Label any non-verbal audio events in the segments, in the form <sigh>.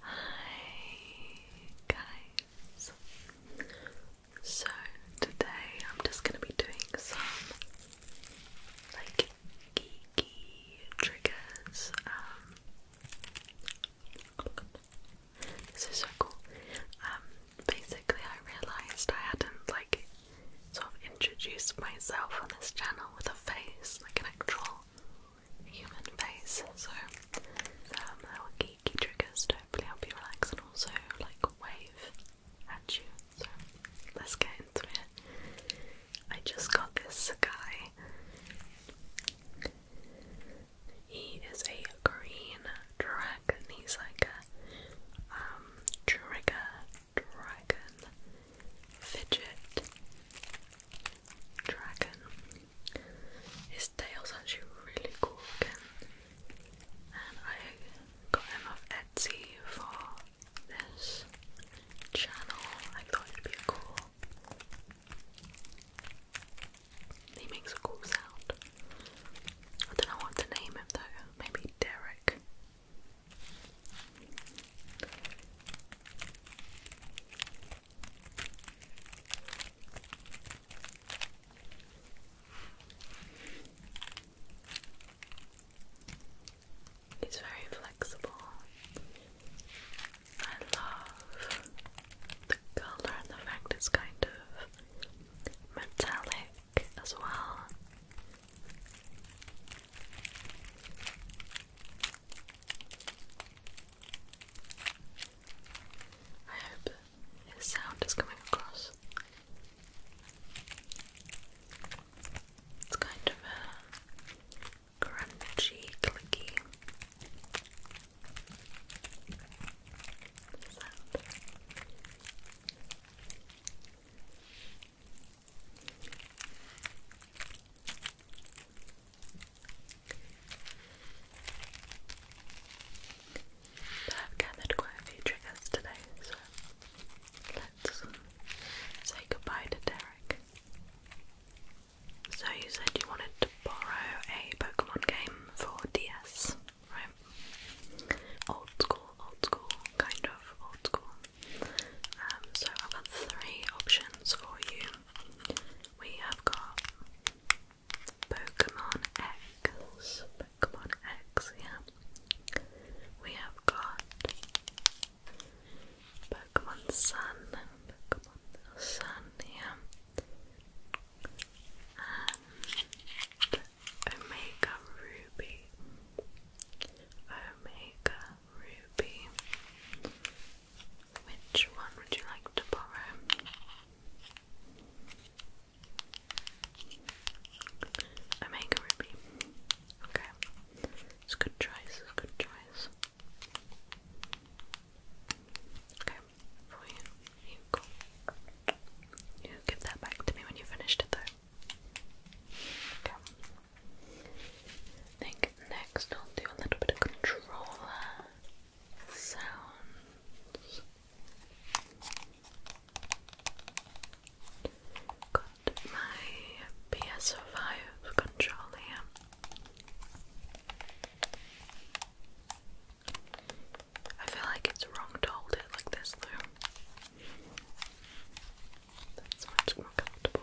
Hi guys. So today I'm just going to be doing some like geeky triggers. Um, this is so cool. Um, basically I realised I hadn't like sort of introduced myself on this channel with a face, like an actual human face. So um, they were geeky triggers to hopefully help you relax and also like wave at you. So let's get into it. I just got this guy. He is a green dragon. He's like a um, trigger dragon, fidget dragon. His tail's actually really cool And I got him off Etsy for this channel. I thought it'd be cool. He makes a cool sound. I don't know what to name him though. Maybe Derek. It's very flexible. I love the color and the fact it's kind of metallic as well. I hope his sound is coming across. It's kind of a crunchy, clicky sound. I've gathered quite a few triggers today, so let's say goodbye to Derek. So you said you wanted to borrow a Pokemon game for DS, right? Old school, old school, kind of old school. Um, so I've got three options for you. We have got Pokemon X, Pokemon X, yeah. We have got Pokemon Sun, Pokemon Sun, yeah. And Omega Ruby, Omega ruby. Which one would you like to borrow? Omega ruby. Okay, it's a good choice. It's a good choice. Okay, for you, you You give that back to me when you finished it, though. Okay. I think next I'll do a little bit of controller sounds. Got my PS5 controller I feel like it's wrong to hold it like this though. That's much more comfortable.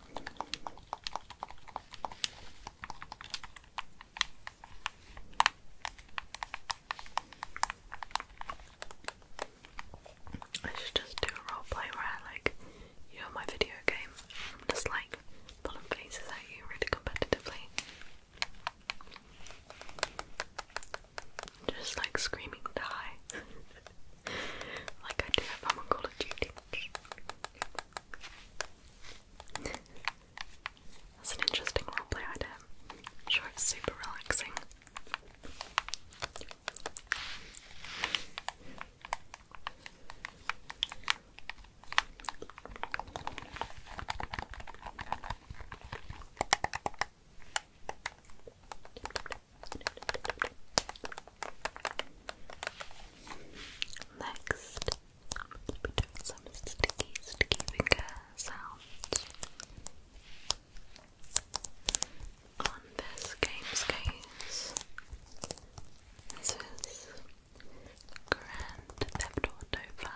I should just do a role where like you know my video game. am just like pulling faces at you really competitively. Just like screaming die. <laughs> <laughs> like I do if I'm on Call of Duty. That's an interesting role roleplay idea. sure it's super relaxing. Next, I'm going to be doing some sticky, sticky sounds on this game's case. This is Grand Theft Auto 5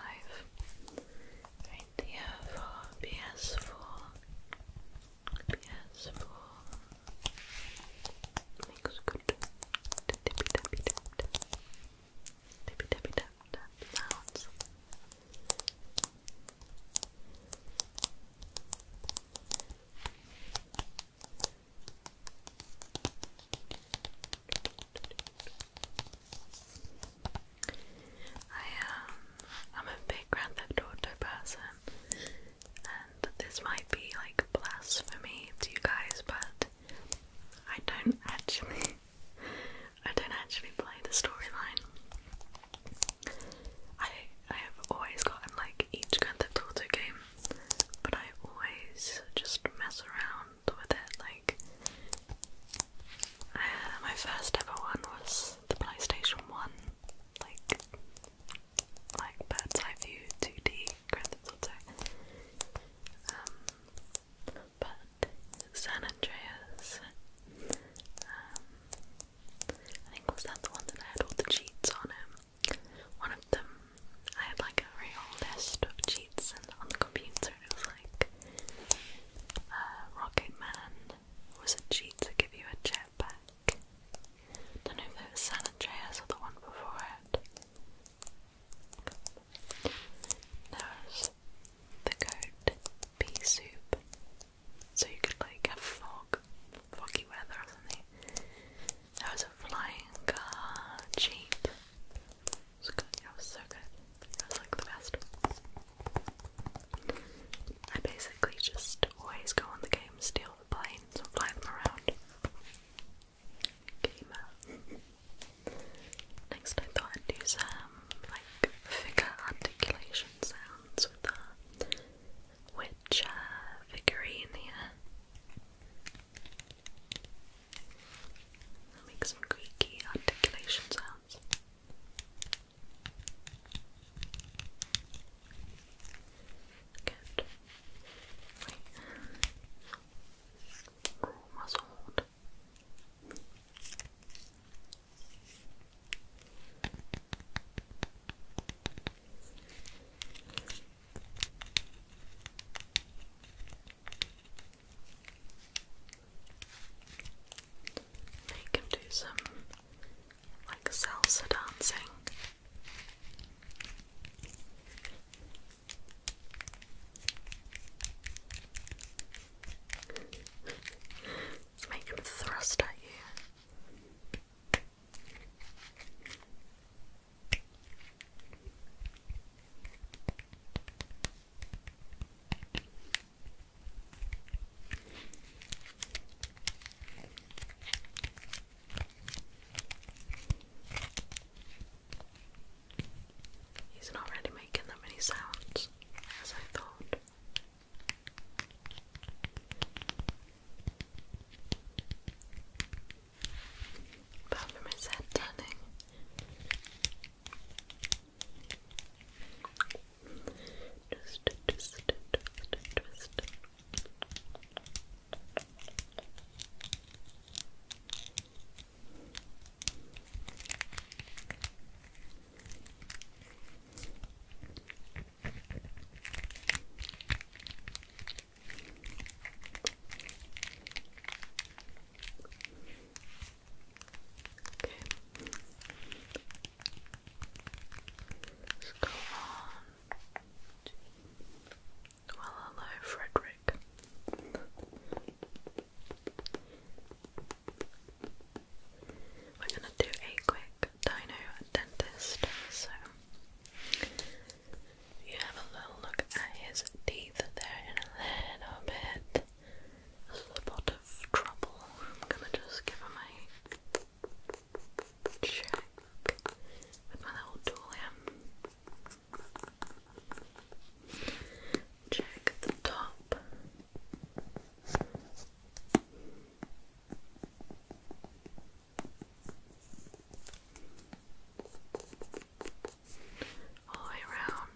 PS4, PS4, I am um, I'm a big Grand Theft person. And this might be like blasphemy to you guys, but I don't actually <laughs> I don't actually play the storyline. I I have always gotten like each Grand Theft Auto game, but I always just mess around with it. Like uh, my first ever one was the PlayStation One, like like bird's eye view 2D Grand Theft um, but San Andreas. Um, I think was that the one that I had all the cheats on it. One of them, I had like a real list of cheats and on the computer. it was like uh, Rocket Man was a cheat to give you a jetpack back. Don't know if it was San Andreas or the one before it. There's the goat pea soup. So you could like have fog, foggy weather or something. There was a flying car, jeep. It was, good. It was so good. It was like the best. I basically just always go on the game, steal the planes, and fly them around. Next, I thought I'd do some like figure articulation sounds with the witch figurine here. make some creaky articulation sounds. Good. Wait. Almost hold. Make him do some like salsa dancing. Let's thrust at you. He's not really making that many sounds as I thought. Apart from his head turning. Just twist it, twist it, Okay. Well, hello, Frederick. We're gonna do a quick dino dentist, so you have a little look at his teeth there in a little bit. This is the trouble. I'm gonna just give him a check with my little tool here. Check the top. All the way around.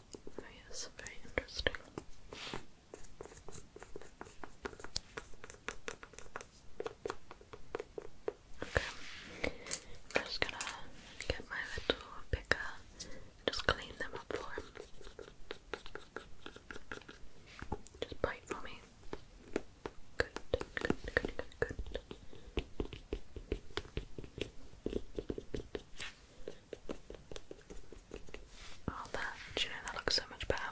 Oh yes, very interesting. Okay, I'm just gonna get my little picker just clean them up for him. Just bite for me. Good, good, good, good, good. Oh, that, you know that looks so much better?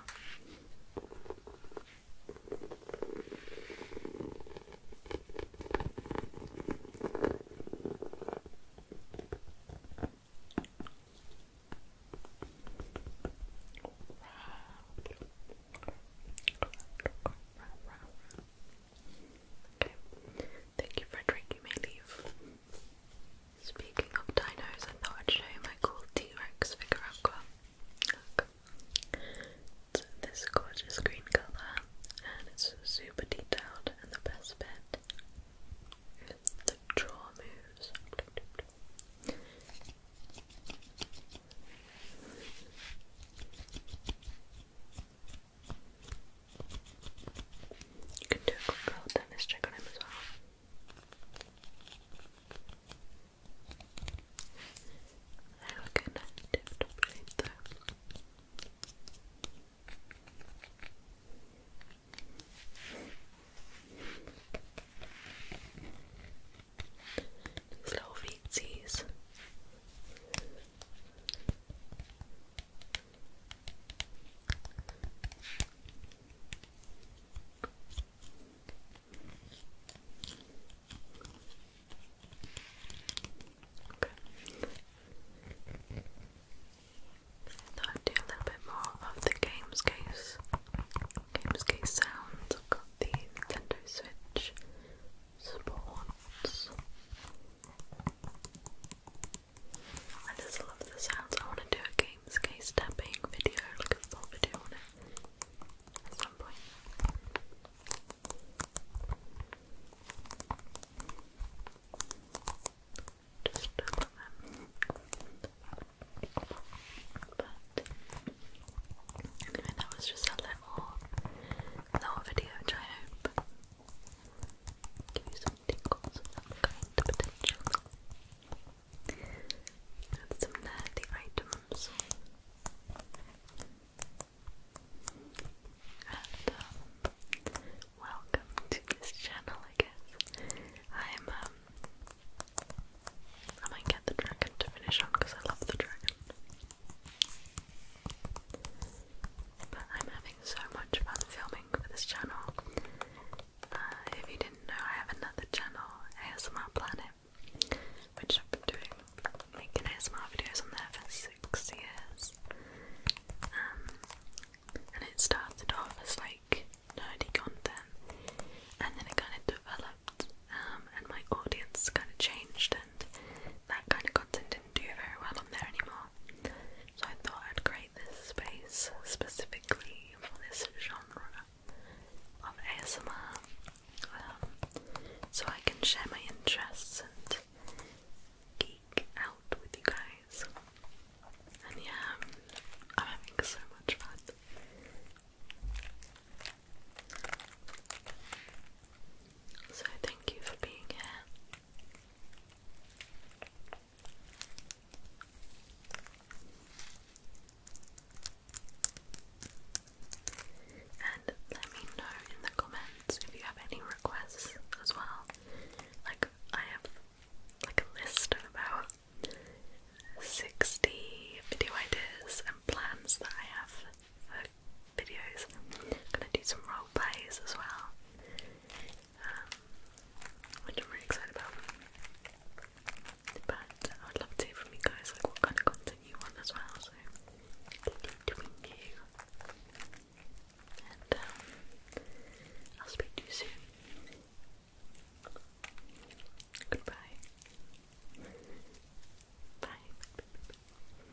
Okay. Thank you, Frederick. You may leave. Speaking of dinos, I thought I'd show you my cool T-Rex figure Look. It's this gorgeous green colour and it's super detailed and the best bit the jaw moves. You can do a quick little tennis check on him as well. There we go, nice tip top shape though. These Okay. I do a little bit more of the games case. Games case sounds. I've got the Nintendo Switch sports. I just love the sounds. I want to do a games case tapping video, like a full video on it at some point. Just look them. But anyway, that was just a little little video which I hope Give you some tingles of that kind, potentially. And some nerdy items. And, um, welcome to this channel, I guess. I'm, um, I might get the dragon to finish on because I love the dragon. But I'm having so much fun filming for this channel. Uh, if you didn't know, I have another channel, ASMR Planet, which I've been doing making ASMR videos on there for six years. Um, and it started off as like nerdy content, and then it kind of developed, um, and my audience kind of changed, and that kind of content do very well on there anymore. So I thought I'd create this space specifically for this genre of ASMR um, so I can share my interests and geek out with you guys. And yeah, I'm having so much fun. So, thank you for being here. And let me know in the comments if you have any requests as well. Like I have like a list of about 60 video ideas and plans that I have videos. i gonna do some role plays as well, um, which I'm really excited about. But I would love to hear from you guys like what kind of content you want as well. So between you, and um, I'll speak to you soon. Goodbye. Bye.